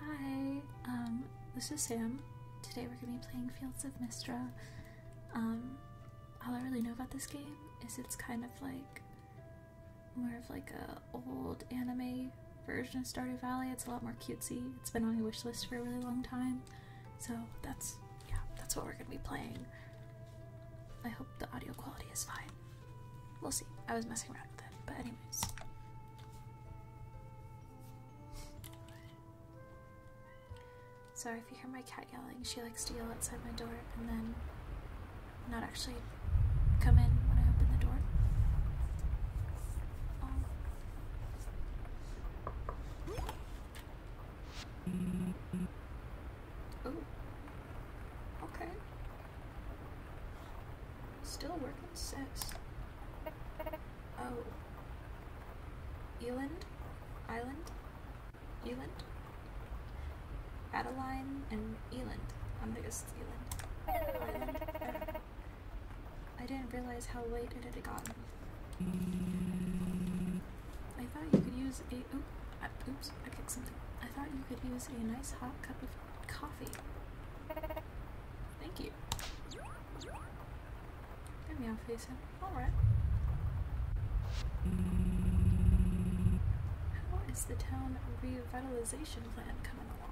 Hi, um, this is Sam. Today we're going to be playing Fields of Mistra. Um, all I really know about this game is it's kind of like more of like a old anime version of Stardew Valley. It's a lot more cutesy. It's been on my wish list for a really long time. So that's, yeah, that's what we're going to be playing. I hope the audio quality is fine. We'll see. I was messing around with it, but anyways. Sorry if you hear my cat yelling. She likes to yell outside my door and then not actually come in when I open the door. Oh. Okay. Still working sets. Oh. Eland? Island? Eland? Adeline and Eland. I'm gonna Eland. I didn't realize how late it had gotten. I thought you could use a. oops, I kicked something. I thought you could use a nice hot cup of coffee. Thank you. There meow face him. Alright. How is the town revitalization plan coming along?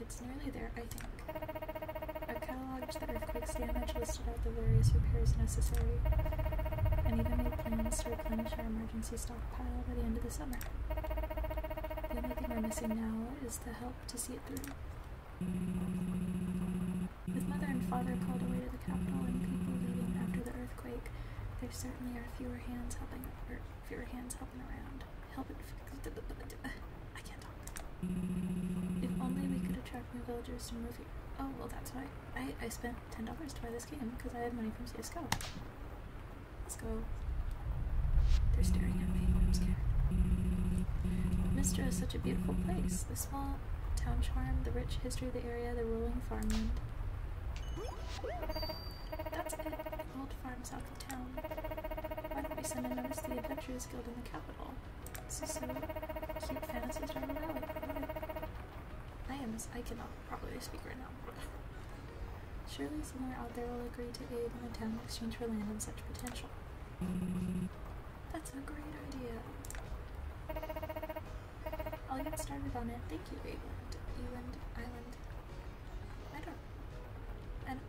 It's nearly there, I think. I cataloged the earthquake damage, listed out the various repairs necessary, and even the plans to replenish our emergency stockpile by the end of the summer. The only thing we're missing now is the help to see it through. With mother and father called away to the capital and people leaving after the earthquake, there certainly are fewer hands helping around. Help it I can't talk. If only we could attract new villagers to move here. Oh well that's why I, I spent ten dollars to buy this game because I had money from Cisco. Let's go. They're staring at me. I'm scared. Mistra is such a beautiful place. The small town charm, the rich history of the area, the rolling farmland. That's it. Old farm south of town. Why don't we send a to the Adventurers Guild in the capital? So some cute fantasies run I am as I cannot properly speak right now. Surely somewhere out there will agree to aid my town in exchange for land and such potential. That's a great idea. I'll get started on it. Thank you, Aland. Eland, Island. I don't. I don't.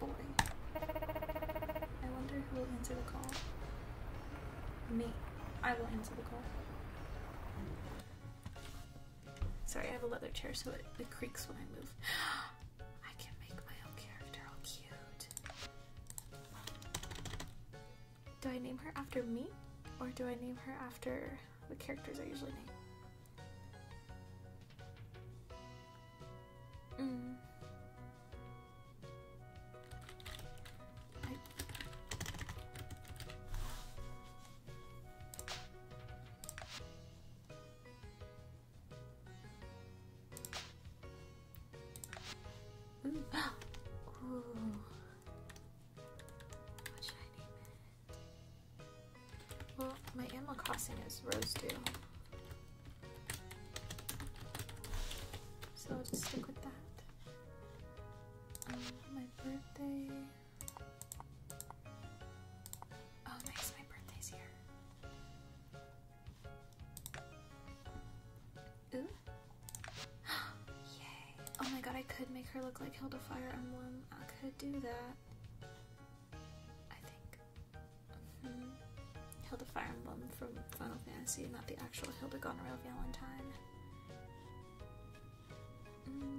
Boy. I wonder who will answer the call. Me. I will answer the call. Sorry, I have a leather chair so it, creaks when I move. I can make my own character, all cute. Do I name her after me? Or do I name her after the characters I usually name? Mm. Well, my animal crossing is Rose Dew. So I'll just stick with that. Um, my birthday. Oh, nice, my birthday's here. Ooh. Yay. Oh my god, I could make her look like Hilda Fire Emblem. I could do that. I think. Hmm, Hilda Fire Emblem from Final Fantasy, not the actual Hilda Goneril Valentine. Hmm.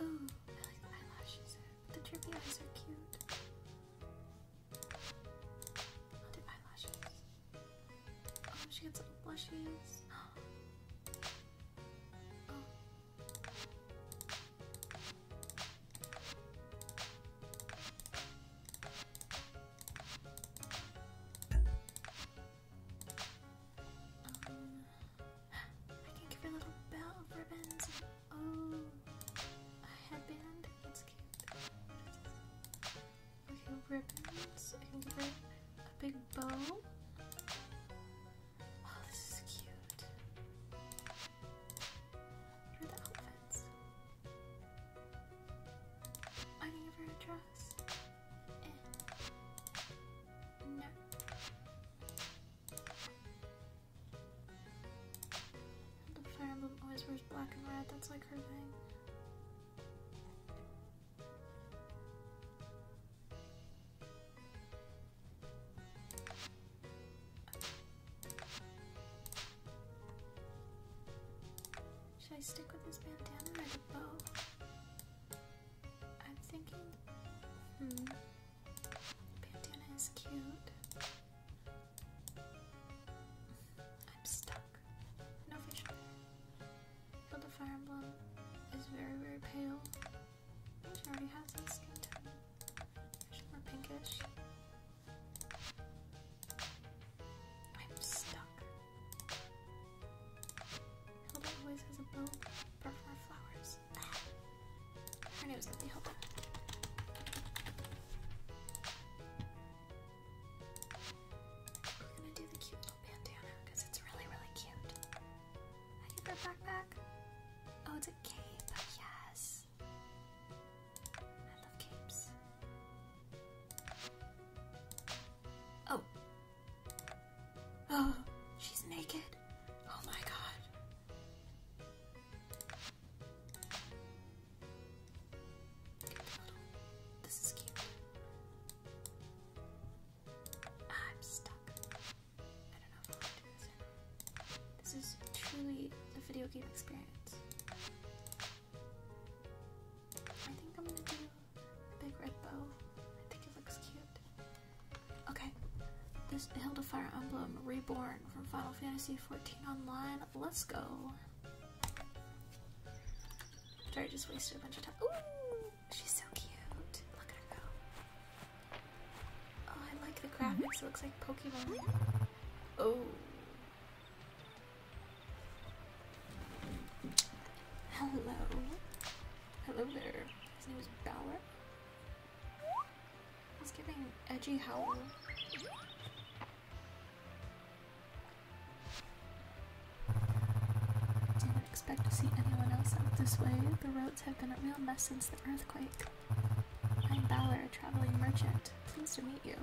Oh, I like eyelashes. The droopy eyes are cute. I'll do eyelashes. Oh, she has little blushes. Oh. I can give her little bell ribbons. Oh, a headband. That's cute. Okay, ribbons. I can give her a big bow. Oh, this is cute. What are the outfits? I need her address. Eh. No. The Fire always wears black and red. That's like her thing. Should I stick with this bandana or the bow? I'm thinking, hmm, bandana is cute. I'm stuck. No fish there. But the fire emblem is very, very pale. She already has that skin tone. She's more pinkish. I'm stuck. Hilda always has a bow for flowers. Ah. Her name is gonna be Hilda. I'm gonna do the cute little bandana because it's really, really cute. I get that backpack. Oh, it's a cape. Yes. I love capes. Oh. Oh, she's naked. Oh my god. This is cute. I'm stuck. I don't know if i do this. This is truly a video game experience. I think I'm gonna do a big red bow. I think it looks cute. Okay, this Hilda Fire Emblem Reborn from Final Fantasy XIV Online. Let's go. Sorry, I just wasted a bunch of time. Ooh, she's so cute. Look at her go. Oh, I like the graphics. It looks like Pokemon. Oh, Hello. Hello there. His name is Bower. He's giving edgy howl. Didn't expect to see anyone else out this way. The roads have been a real mess since the earthquake. I'm Bower, a traveling merchant. Pleased to meet you.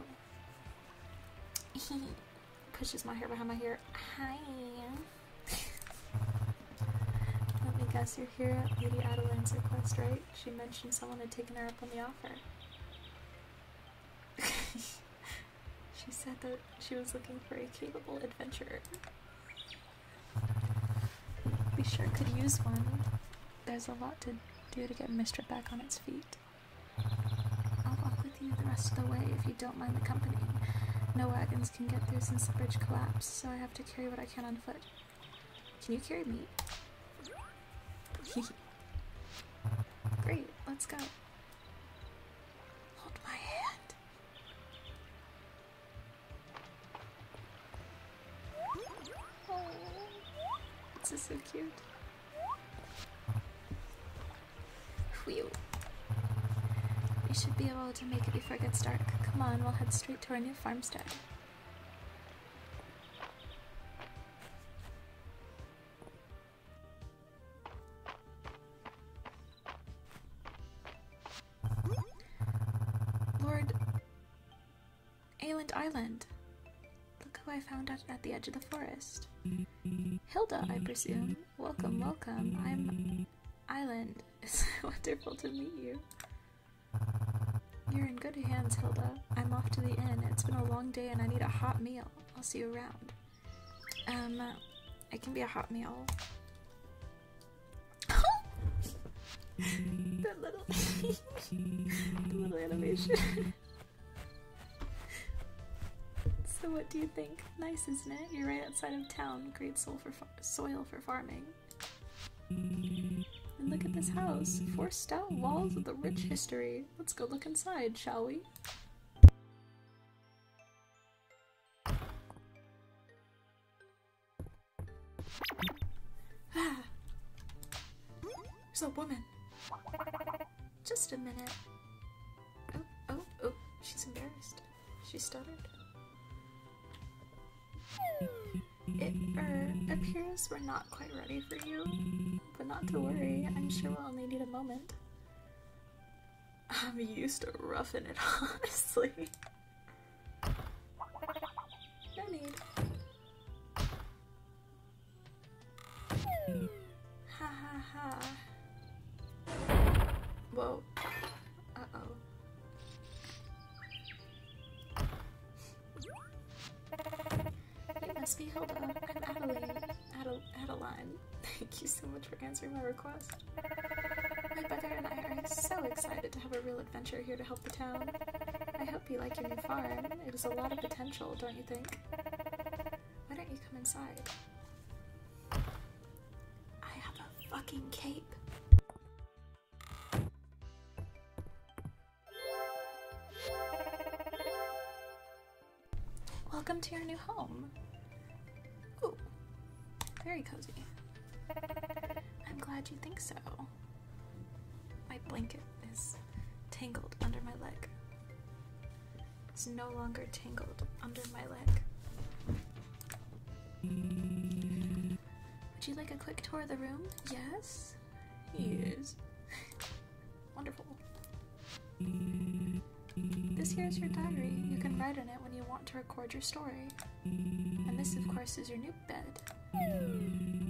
He pushes my hair behind my hair. Hi. Let me guess, you're here at Lady Adeline's request, right? She mentioned someone had taken her up on the offer. she said that she was looking for a capable adventurer. We sure could use one. There's a lot to do to get Mistra back on its feet. I'll walk with you the rest of the way if you don't mind the company. No wagons can get through since the bridge collapsed, so I have to carry what I can on foot. Can you carry me? Great, let's go. Hold my hand. Oh, this is so cute. Whew. We should be able to make it before it gets dark. Come on, we'll head straight to our new farmstead. Lord Ayland Island. Look who I found out at the edge of the forest. Hilda, I presume. Welcome, welcome. I'm Island. It's wonderful to meet you. You're in good hands, Hilda. I'm off to the inn. It's been a long day and I need a hot meal. I'll see you around. Um, it can be a hot meal. the little, that little animation so what do you think? Nice, isn't it? You're right outside of town. Great soil for, farming. And look at this house. Four stout walls with a rich history. Let's go look inside, shall we? Ah. There's a woman. Just a minute. Oh, oh, oh, she's embarrassed. She stuttered. It appears we're not quite ready for you, but not to worry. I'm sure we'll only need a moment. I'm used to roughing it, honestly. No need. Ha ha ha. Whoa. Uh-oh. It must be Hoba. Adelaide. Adel Adeline. Thank you so much for answering my request. My brother and I are so excited to have a real adventure here to help the town. I hope you like your new farm. It has a lot of potential, don't you think? Why don't you come inside? I have a fucking cape. Welcome to your new home. Ooh, very cozy. I'm glad you think so. My blanket is tangled under my leg. It's no longer tangled under my leg. Would you like a quick tour of the room? Yes? Yes. Wonderful. This here is your diary. You can write in it when you want to record your story. And this, of course, is your new bed.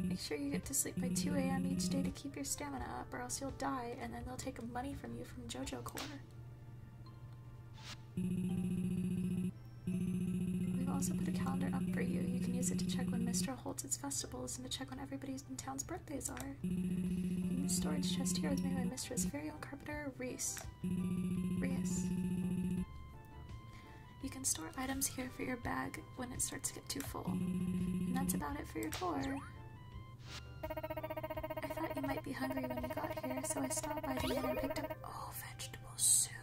Make sure you get to sleep by 2 a.m. each day to keep your stamina up or else you'll die and then they'll take money from you from JoJo Corps. We've also put a calendar up for you. You can use it to check when Mistral holds its festivals and to check when everybody in town's birthdays are. storage chest here is made by Mistral's very old carpenter, Reese. Reese. You can store items here for your bag when it starts to get too full. And that's about it for your tour. I thought you might be hungry when you got here, so I stopped by the inn and picked up all oh, vegetable soup.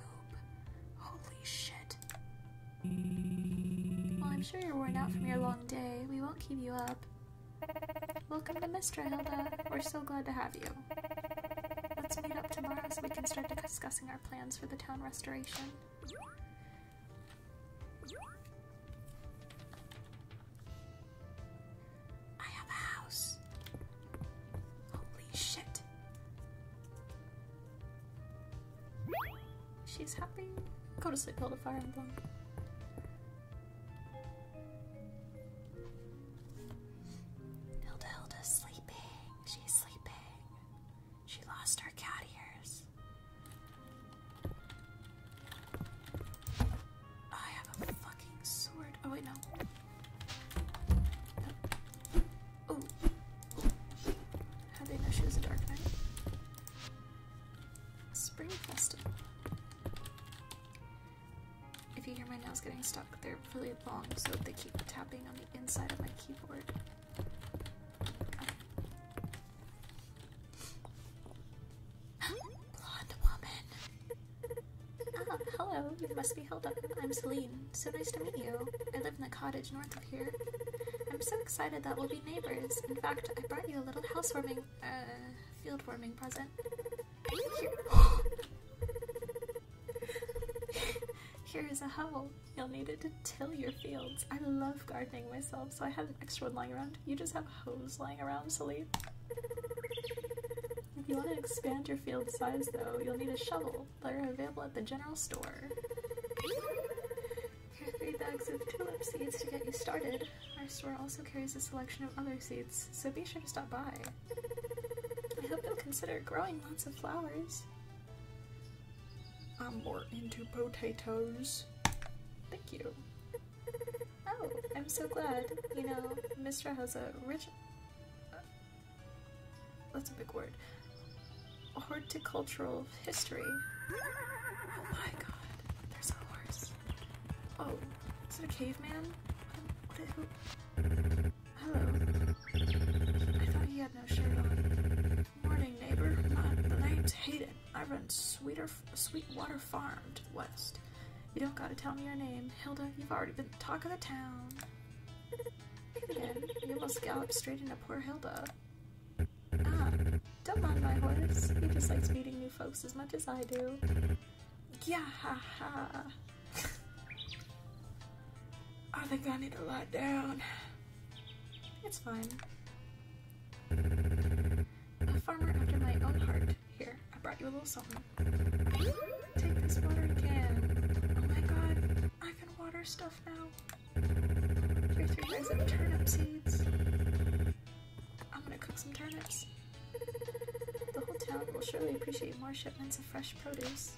Holy shit. Well, I'm sure you're worn out from your long day. We won't keep you up. Welcome to Mr. Hilda. We're so glad to have you. Let's meet up tomorrow so we can start discussing our plans for the town restoration. I have a house. Holy shit. She's happy. Go to sleep, Hilda. a fire emblem. Hilda Hilda's sleeping. She's sleeping. She lost her cat ears. I have a fucking sword. Oh, wait, no. Oh. How'd they know she was a dark knight? Spring festival. If you hear my nails getting stuck, they're really long, so they keep tapping on the inside of my keyboard. Blonde woman. Oh, hello. You must be Hilda. I'm Celine. So nice to meet you. I live in the cottage north of here. I'm so excited that we'll be neighbors. In fact, I brought you a little housewarming, uh, field warming present. Here. Here is a howl. You'll need it to till your fields. I love gardening myself, so I have an extra one lying around. You just have hose lying around, Celine. If you want to expand your field size, though, you'll need a shovel. They're available at the general store. Here three bags of tulip seeds to get you started. Our store also carries a selection of other seeds, so be sure to stop by. I hope you'll consider growing lots of flowers. I'm more into potatoes. Thank you. Oh, I'm so glad. You know, Mister has a rich... that's a big word. Horticultural history. Oh my god, there's a horse. Oh, is it a caveman? Hello. I thought he had no shirt Morning, neighbor. I'm Nate Hayden. I run Sweeter, Sweetwater Farm to the west. You don't gotta tell me your name, Hilda. You've already been the talk of the town. Again, you almost gallop straight into poor Hilda. Ah, don't mind my horse. He just likes meeting new folks as much as I do. Yeah, ha, ha. I think I need to lie down. It's fine. A farmer after my own heart. Here, I brought you a little something. Take this water can. Oh my god, I can water stuff now. Here's three bags of turnip seeds. I'm gonna cook some turnips. The whole town will surely appreciate more shipments of fresh produce.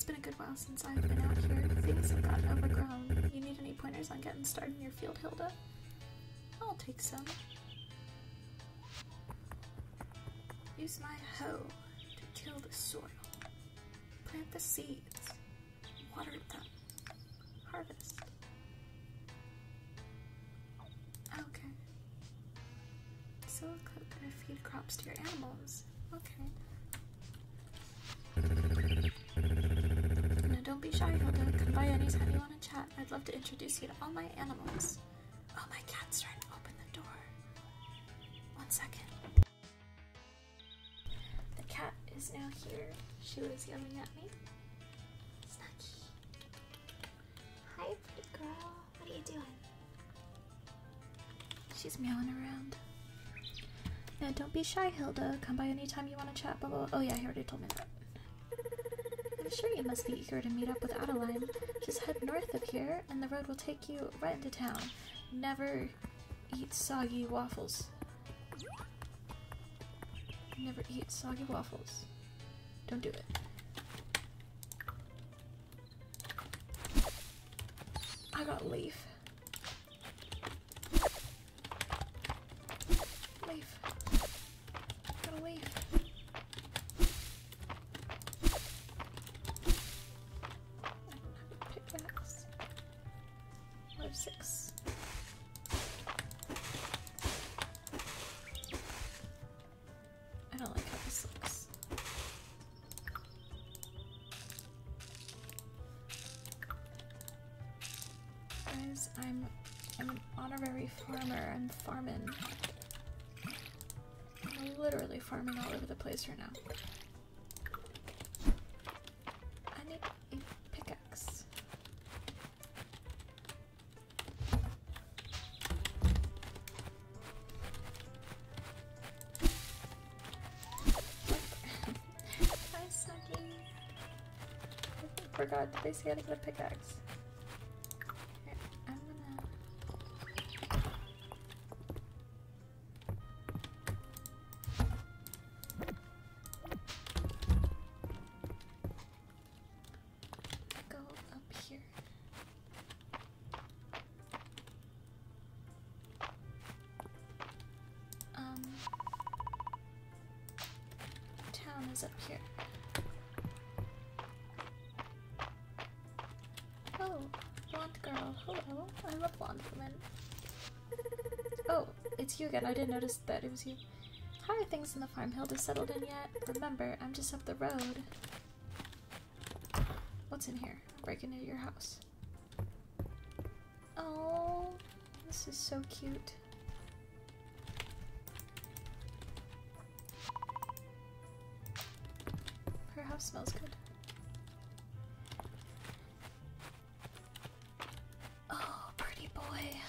It's been a good while. since I've been out here. Things have gotten overgrown. You need any pointers on getting started in your field, Hilda? I'll take some. Use my hoe to till the soil. Plant the seeds. Water them. Harvest. Okay. So can feed crops to your animals. Okay. Now don't be shy, Hilda. Come by anytime you want to chat. I'd love to introduce you to all my animals. Oh, my cat's trying to open the door. One second. The cat is now here. She was yelling at me. Snuggie. Hi, pretty girl what are you doing? She's meowing around. Now don't be shy, Hilda. Come by anytime you want to chat, blah, Oh yeah, he already told me that. I'm sure you must be eager to meet up with Adeline. Just head north up here, and the road will take you right into town. Never eat soggy waffles. Never eat soggy waffles. Don't do it. I got leaf. Leaf. Got a leaf. Pickaxe. Live six. I don't like how this looks. Guys, I'm I'm an honorary farmer. I'm farming. I'm literally farming all over the place right now. I need a pickaxe. Hi, Snuggy. I forgot that they say how to get a pickaxe. Go up here. Um, town is up here. Oh, blonde girl. Hello. I'm blonde woman. Oh, it's you again. I didn't notice that it was you. How are things in the farm hill settled in yet? Remember, I'm just up the road. What's in here? Break into your house. Oh, this is so cute. Her house smells good. Oh, pretty boy.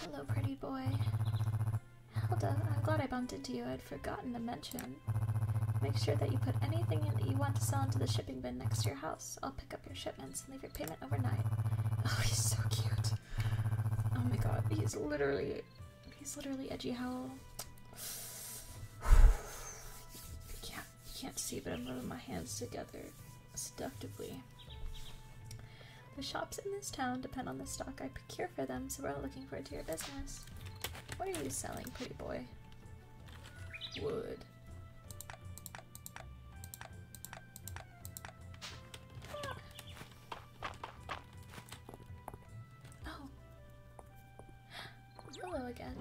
Hello, pretty boy. Helda, I'm glad I bumped into you. I'd forgotten to mention. Make sure that you put anything that you want to sell into the shipping bin next to your house. I'll pick up your shipments and leave your payment overnight. Oh, he's so cute. Oh my god, he's literally, he's literally edgy howl. you can't, you can't see, but I'm rubbing my hands together seductively. The shops in this town depend on the stock I procure for them, so we're all looking forward to your business. What are you selling, pretty boy? Wood. Oh. Hello again.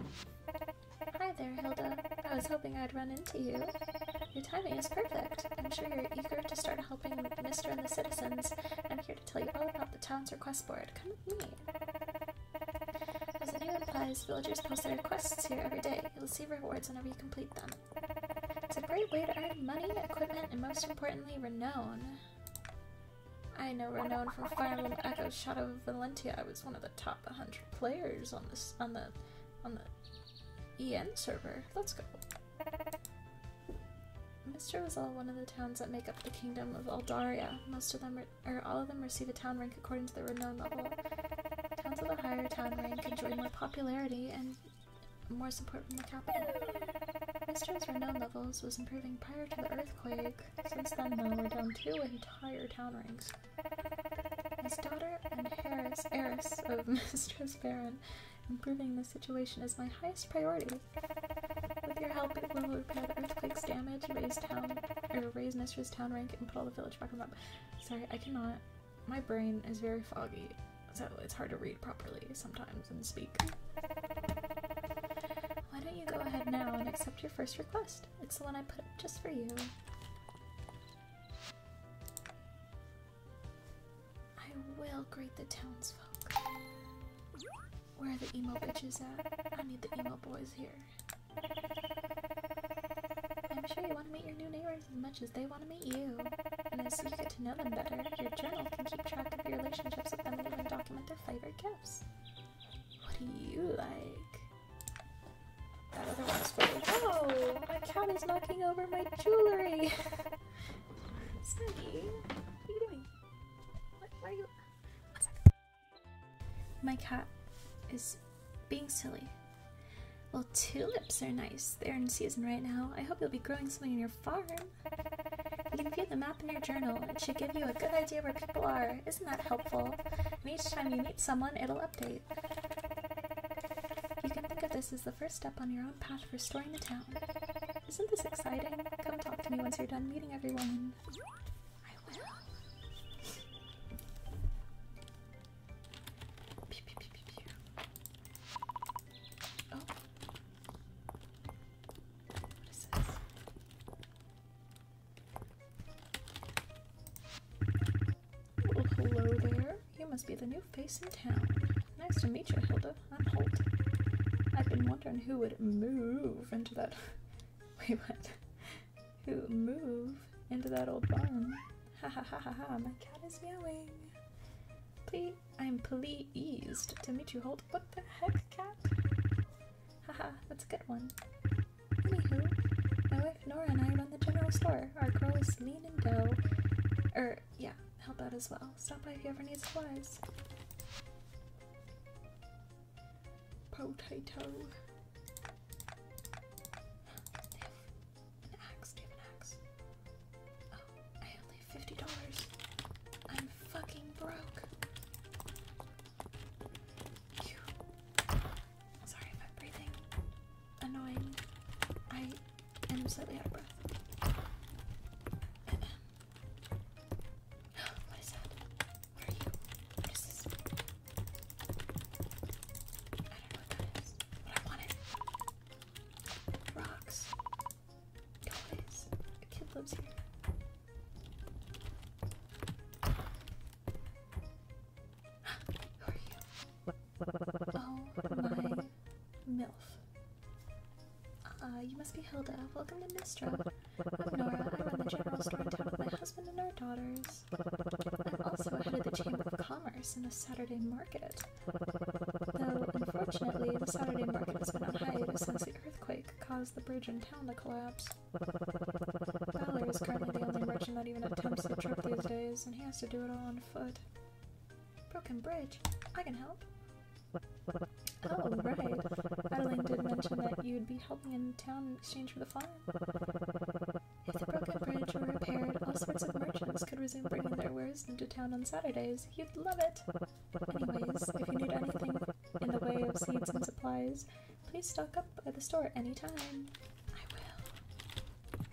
Hi there, Hilda. I was hoping I'd run into you. Your timing is perfect. I'm sure you're eager to start helping Mr. and the citizens, and here tell you all about the town's request board. Come with me. As the name implies, villagers post their requests here every day. You'll receive rewards whenever you complete them. It's a great way to earn money, equipment, and most importantly, renown. I know renown from Fire Emblem Echo Shadow of Valentia. I was one of the top 100 players on this on the on the EN server. Let's go. Mister was all one of the towns that make up the kingdom of Aldaria. Most of them are or all of them receive a town rank according to their renown level. Towns with a higher town rank enjoy more popularity and more support from the capital. Mistrum's renown levels was improving prior to the earthquake. Since then, though, we're down two entire town ranks. His daughter and heiress, heiress of Mistress Baron, improving this situation is my highest priority. With your help, we will repair the earthquake's damage, raise town, raise Mistress Town rank, and put all the village back on map. Sorry, I cannot. My brain is very foggy, so it's hard to read properly sometimes and speak. Why don't you go ahead now and accept your first request? It's the one I put just for you. I will greet the townsfolk. Where are the emo bitches at? I need the emo boys here. I'm sure you want to meet your new neighbors as much as they want to meet you. And as you get to know them better, your journal can keep track of your relationships with them and document their favorite gifts. What do you like? That other one's full. Oh, my cat is knocking over my jewelry. Snuggie, what are you doing? why are you? My cat is being silly. Well, tulips are nice. They're in season right now. I hope you'll be growing some in your farm. You can view the map in your journal. It should give you a good idea where people are. Isn't that helpful? And each time you meet someone, it'll update. You can think of this as the first step on your own path for storing the town. Isn't this exciting? Come talk to me once you're done meeting everyone. Oh. Oh, hello there. You must be the new face in town. Nice to meet you, Hilda. I'm Holt. I've been wondering who would move into that Wait, what? Who move into that old barn? Ha ha ha ha ha! My cat is meowing. Please, I'm pleased to meet you, Hold. What the heck, cat? Ha ha! that's a good one. Anywho, my wife Nora and I run the general store. Our girl is Lean and dough. er, yeah, help out as well. Stop by if you ever need supplies. Potato. An axe, give an axe. Oh, I only have fifty dollars. I'm fucking broke. Sorry I'm breathing. Annoying. I am slightly out of breath what is that? Where are you? What is this? I don't know what that is. But I want it. Rocks. Guys. A kid lives here. Who are you? Oh, my MILF. you must be Hilda. Welcome to Mistra the my husband and our daughters. I'm the Chamber of Commerce and a Saturday market. unfortunately, the Saturday market earthquake caused the bridge in town to collapse. Valor is currently the only merchant that even attempts these days, and he has to do it all on foot. Broken bridge? I can help. Oh, right. Adeline did mention that you'd be helping in town in exchange for the farm. If the broken bridge were repaired, all merchants could resume bringing their wares into town on Saturdays. You'd love it! if you need anything in the way of seeds and supplies, please stock up at the store anytime. I will.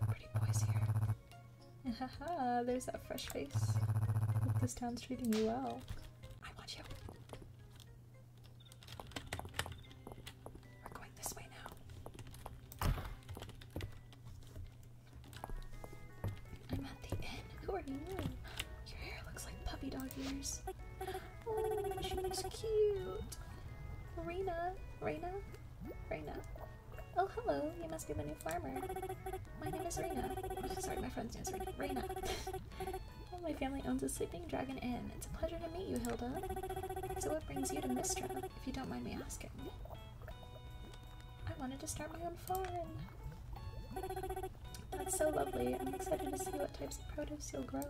Pretty boys here. Haha, there's that fresh face. Hope this town's treating you well. I want you. We're going this way now. I'm at the inn. Who are you? Your hair looks like puppy dog ears. Oh, she's so cute. Raina, Raina, Raina. Oh, hello. You must be the new farmer. My name is Reina. Sorry, my friend's answering. Reina. well, my family owns a Sleeping Dragon Inn. It's a pleasure to meet you, Hilda. So what brings you to Mistra, if you don't mind me asking? I wanted to start my own farm. That's so lovely. I'm excited to see what types of produce you'll grow.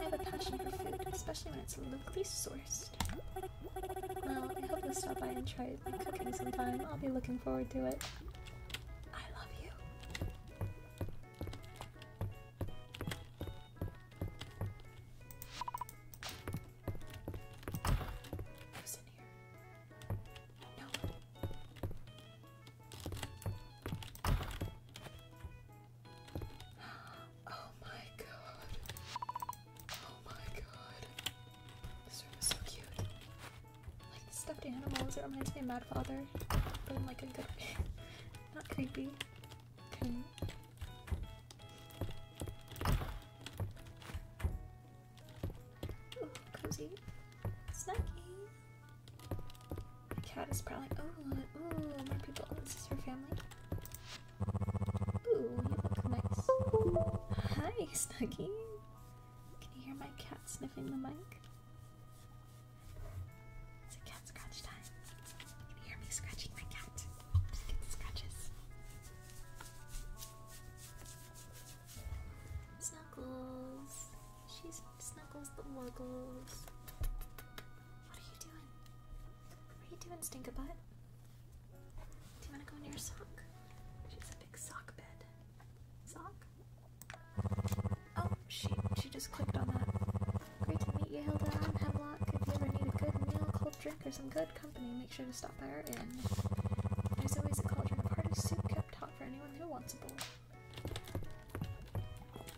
I have a passion for food, especially when it's locally sourced. I hope you'll stop by and try my cooking sometime. I'll be looking forward to it. I love you. Oh my god. Oh my god. This room is so cute. Like stuffed animals, it reminds me of Mad Father. But in like a good Not creepy. cozy. Snacky. The cat is probably. Oh, ooh, more people. This is her family. Ooh, you look nice. Hi, Snuggie. Can you hear my cat sniffing the mic? It's cat scratch time. Can you hear me scratching my cat? Just get the scratches. Snuggles. She's Snuggles the Wuggles. What are you doing? What are you doing, stink butt? Do you want to go in your sock? She's a big sock bed. Sock? Oh, she, she just clicked on that. Great to meet you, Hilda. I'm Hemlock. If you ever need a good meal, cold drink, or some good company, make sure to stop by our inn. There's always a cauldron of hearty soup kept hot for anyone who wants a bowl.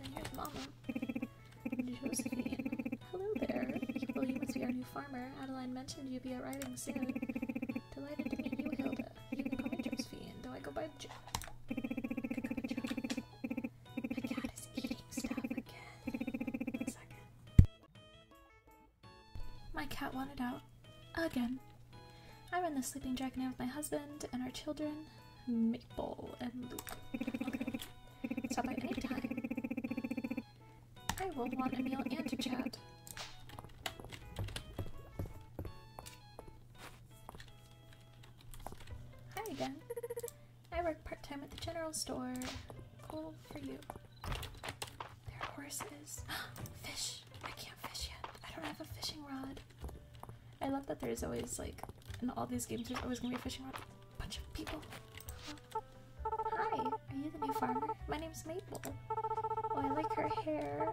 And here's Mama. Hello there. Well, you must be our new farmer. Adeline mentioned you'd be arriving soon. Delighted to meet you, Hilda. Do I go by Jo. My cat wanted out. Again. I am in the sleeping dragonette with my husband and our children, Maple and Luke. I will want a meal Hi again. I work part-time at the general store. Cool for you. There are horses. fish! I can't fish yet. I don't have a fishing rod. I love that there's always, like, in all these games, there's always gonna be a fishing rod. Bunch of people. Hi, are you the new farmer? My name's Maple. Oh, I like her hair.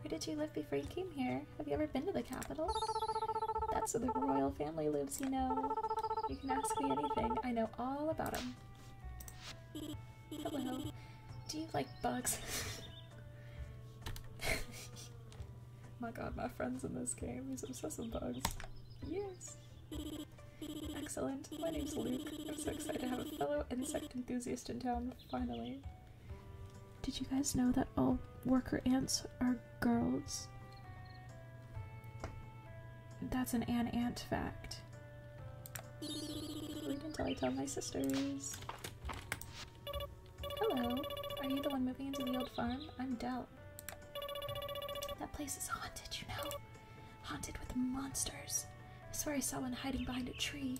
Where did you live before you came here? Have you ever been to the capital? That's where the royal family lives, you know. You can ask me anything. I know all about them. Hello. Do you like bugs? My god, my friend's in this game. He's obsessed with bugs. Yes! Excellent. My name's Luke. I'm so excited to have a fellow insect enthusiast in town, finally. Did you guys know that all worker ants are girls? That's an ant ant fact. Wait until I tell my sisters. Hello. Are you the one moving into the old farm? I'm Dell. That place is haunted, you know? Haunted with monsters. I swear I saw one hiding behind a tree.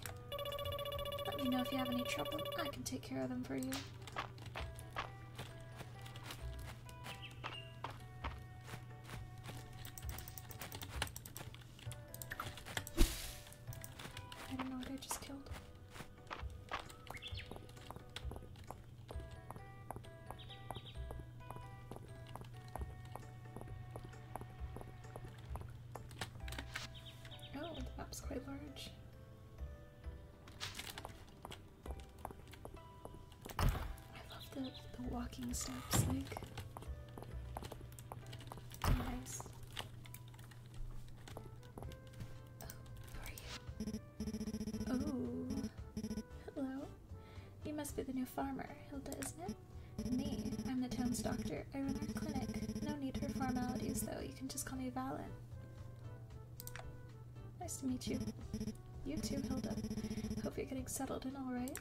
Let me know if you have any trouble. I can take care of them for you. I don't know what I just killed. Oh, the map's quite large. I love the, the walking steps, like. Nice. Oh, Oh, hello. You must be the new farmer, Hilda, isn't it? Me, I'm the town's doctor. I run our clinic. No need for formalities, though. You can just call me Valen. Nice to meet you. You too, Hilda. Hope you're getting settled in, alright.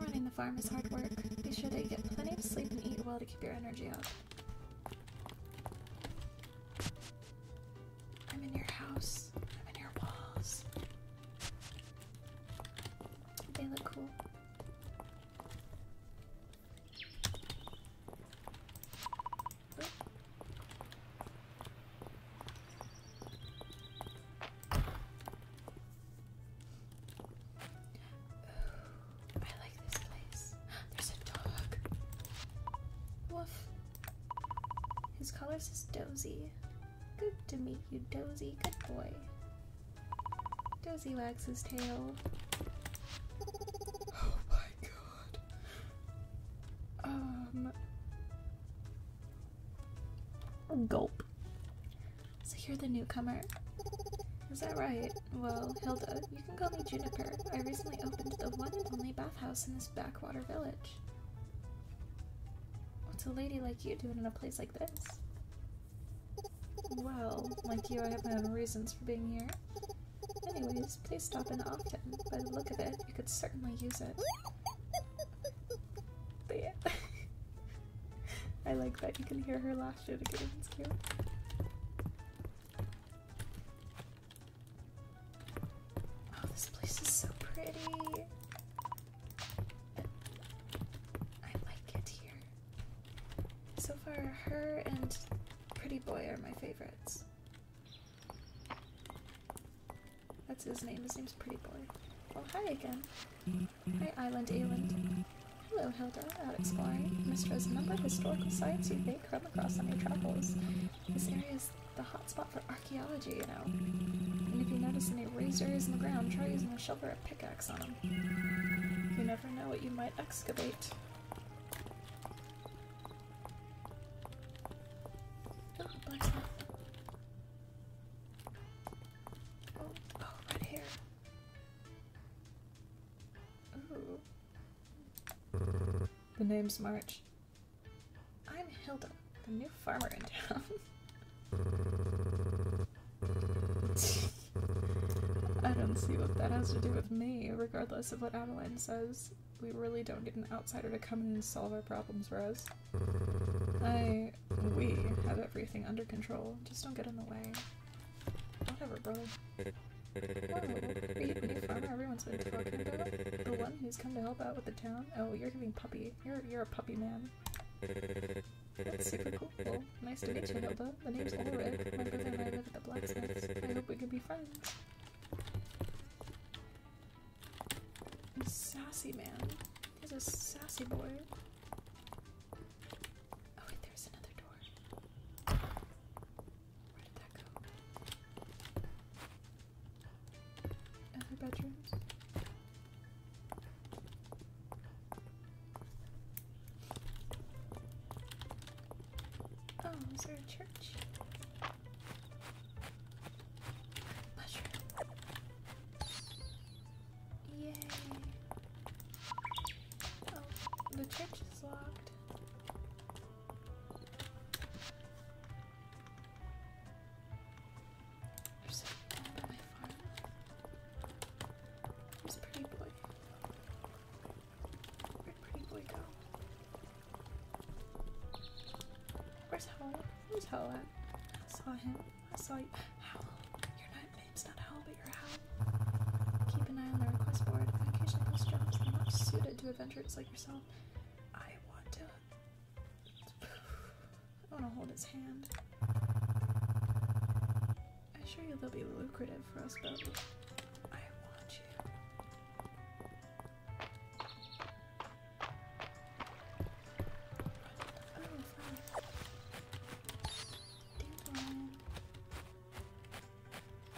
Running the farm is hard work. Be sure to get plenty of sleep and eat well to keep your energy up. I'm in your house. I'm in your walls. They look cool. I like this place. There's a dog. Woof. His collar says Dozy. Good to meet you, Dozy. Good boy. Dozy wags his tail. Oh my god. Um. Gulp. So you're the newcomer. Is that right? Well, Hilda, you can call me Juniper. I recently opened the one and only bathhouse in this ba Blackwater Village. What's a lady like you doing in a place like this? Well, like you, I have my own reasons for being here. Anyways, please stop in often. By the look at it, you could certainly use it. But yeah. I like that you can hear her laugh at again, it's cute. Oh, this place is so pretty. I like it here. So far, her and Pretty Boy are my favorites. That's his name. His name's Pretty Boy. Well, oh, hi again. Hi, Island Eland. Hello, Hilda. Out exploring. Mistress, a number of historical sites you may come across on your travels. This area is it's the hotspot for archaeology, you know. And if you notice any razors in the ground, try using a shovel or a pickaxe on them. You never know what you might excavate. Oh, oh, oh right here. The name's March. I'm Hilda, the new farmer in town. I don't see what that has to do with me. Regardless of what Adeline says, we really don't need an outsider to come in and solve our problems for us. I, we have everything under control. Just don't get in the way. Whatever, brother. Eh. Everyone's been the one who's come to help out with the town. Oh, you're giving puppy. You're you're a puppy man. That's super cool. nice to meet you, Hilda. The name's Ulrich. I hope we can be friends. Sassy man. He's a sassy boy. Oh wait, there's another door. Where did Other bedrooms? Oh, is there a church? Yay. Oh, the church is locked. There's pretty boy. Where'd pretty boy go? Where's Howl? Where's Howl I saw him. I saw you. Howl. Your night name's not Howl, but you're Howl. Keep an eye on the request board. I occasionally post jobs that are much suited to adventurers like yourself. I want to. I want to hold his hand. I assure you they'll be lucrative for us both. I want you.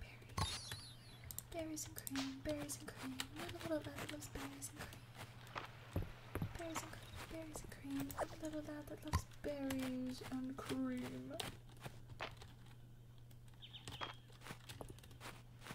Berries. Berries and cream, berries and cream. Little little lad that loves berries and cream. Berries and cream, berries and cream. Little lad that loves berries and cream.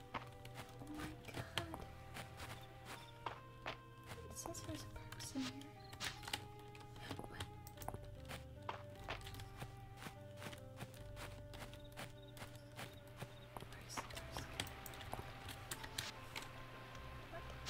Oh my god. It says there's a person here. What? Where's the person? What? What?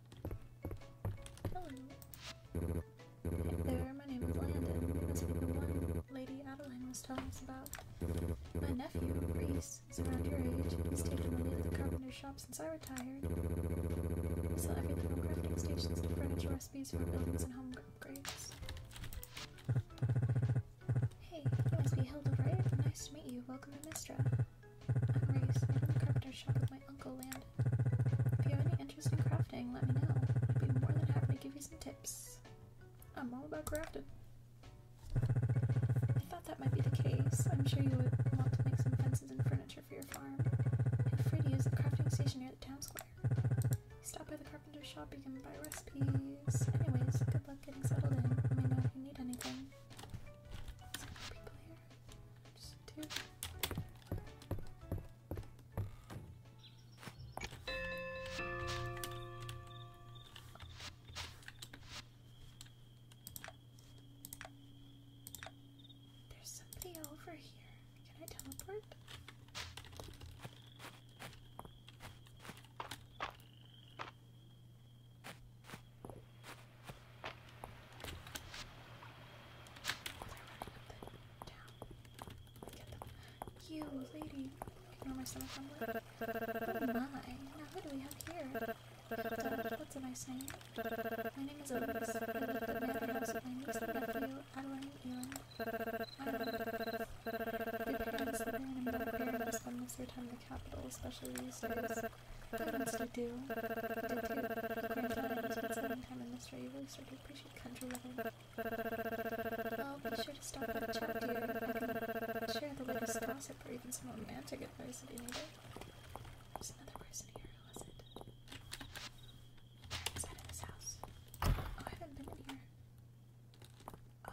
Hello. There, my name is Lady Adeline was telling us about my nephew, Reese. He's around your age. He's over the carpenter shop since I retired. So everything from crafting stations to furniture recipes for buildings and home upgrades. hey, must be Hilda, right? Nice to meet you. Welcome to Mistra. I'm raised in the carpenter shop with my uncle If you have any interest in crafting, let me know. I'd be more than happy to give you some tips. I'm all about crafting. I thought that might be the case. I'm sure you would want to make some fences and furniture for your farm. And free to use the crafting station near the town square. Stop by the carpenter shop, you can buy recipes. Anyways, good luck getting settled in. Let me know if you need anything. people here. There's somebody over here. Can I teleport? You, lady, ignore my stomach rumble. Oh my, now who do we have here? Dad, what's a nice name? My name is Elise. I live at the manor house with my niece and nephew, Adeline and Ewan. Your parents live in a middle paradise and most of the time in the capital, especially these days. I do. Time in this you really start to appreciate country living. Well, be sure to stop at a chat here. Share the latest gossip or even some romantic advice if you need it. There's another person here. Who is it? Inside of this house. Oh, I haven't been in here. Oh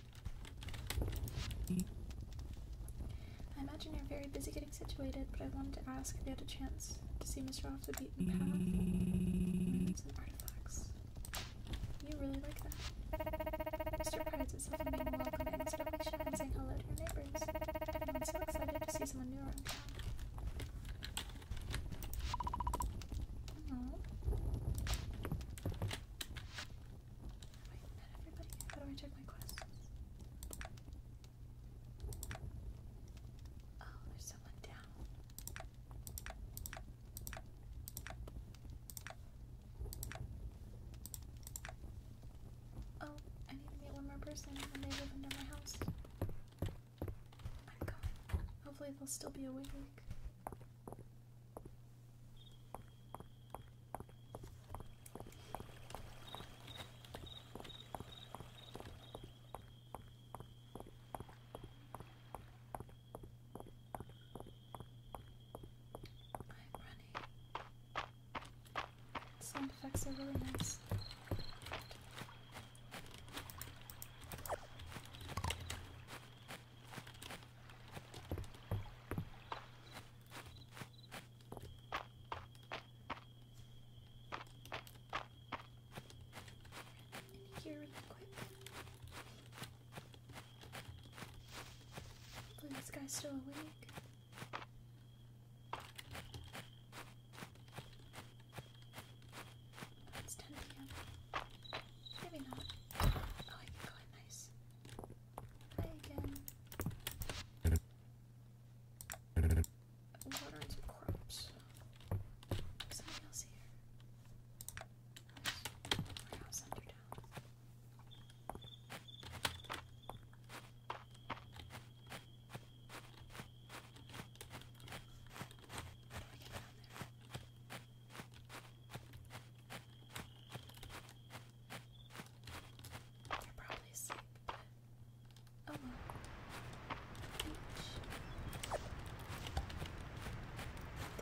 I imagine you're very busy getting situated, but I wanted to ask if you had a chance to see Mr. Off the Beaten Path. Some You really like that. Mr. prides himself on being welcome and establishing and saying hello to your neighbors. I'm so excited to see someone new around Wait, not everybody. How do I check my quests? Oh, there's someone down. Oh, I need to meet one more person they live under my house. I'm going. Hopefully they'll still be awake. Sound effects are really nice. Here, really quick. Hopefully, this guy's still awake. It's 10 p.m. Maybe not. Oh, I can nice. Play again. Watering some crops. Something else here. Warehouse under down. How do I get down there?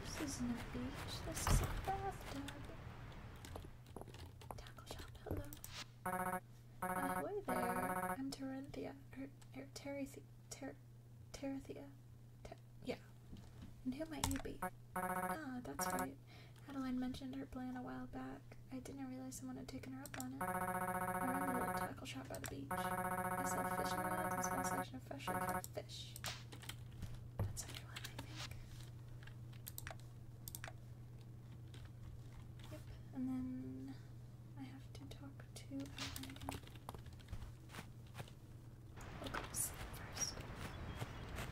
This isn't a beach, this is a bathtub. Tackle hello. Uh, hello there, I'm Terenthia, or, or Terethia, Ter, Terethia, yeah. And who might you be? Ah, that's right. Adeline mentioned her plan a while back. I didn't realize someone had taken her up on it. I remember that tackle shop by the beach. I saw fish in the wild and small section caught fish. That's everyone, I think. Yep, and then I have to talk to Adeline again. first.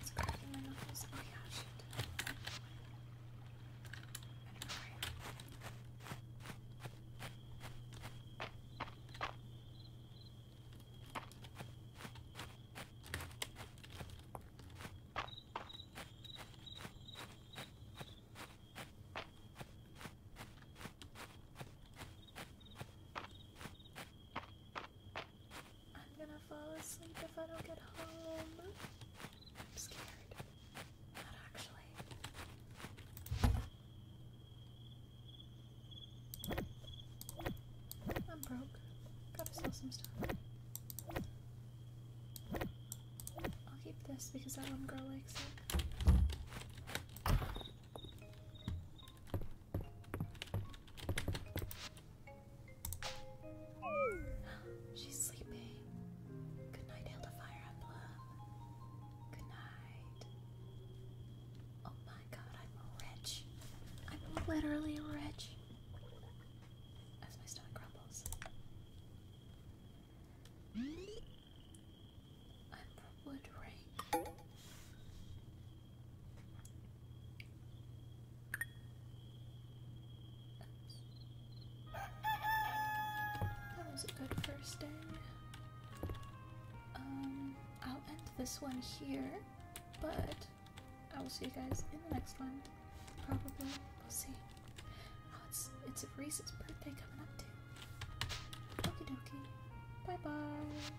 It's cracking my knuckles. Oh yeah, shit. I don't know I I'm gonna fall asleep if I don't get home. I'm scared. Not actually. I'm broke. Gotta sell some stuff. I'll keep this because that one girl likes it. She's sleeping. Good night, Hilda Fire Emblem. Good night. Oh my god, I'm rich. I'm literally rich. As my stomach crumbles. I'm wood that was a good first day. Um, I'll end this one here, but I will see you guys in the next one. Probably. We'll see. Oh, it's, it's Reese's birthday coming up too. Okie dokie. Bye bye.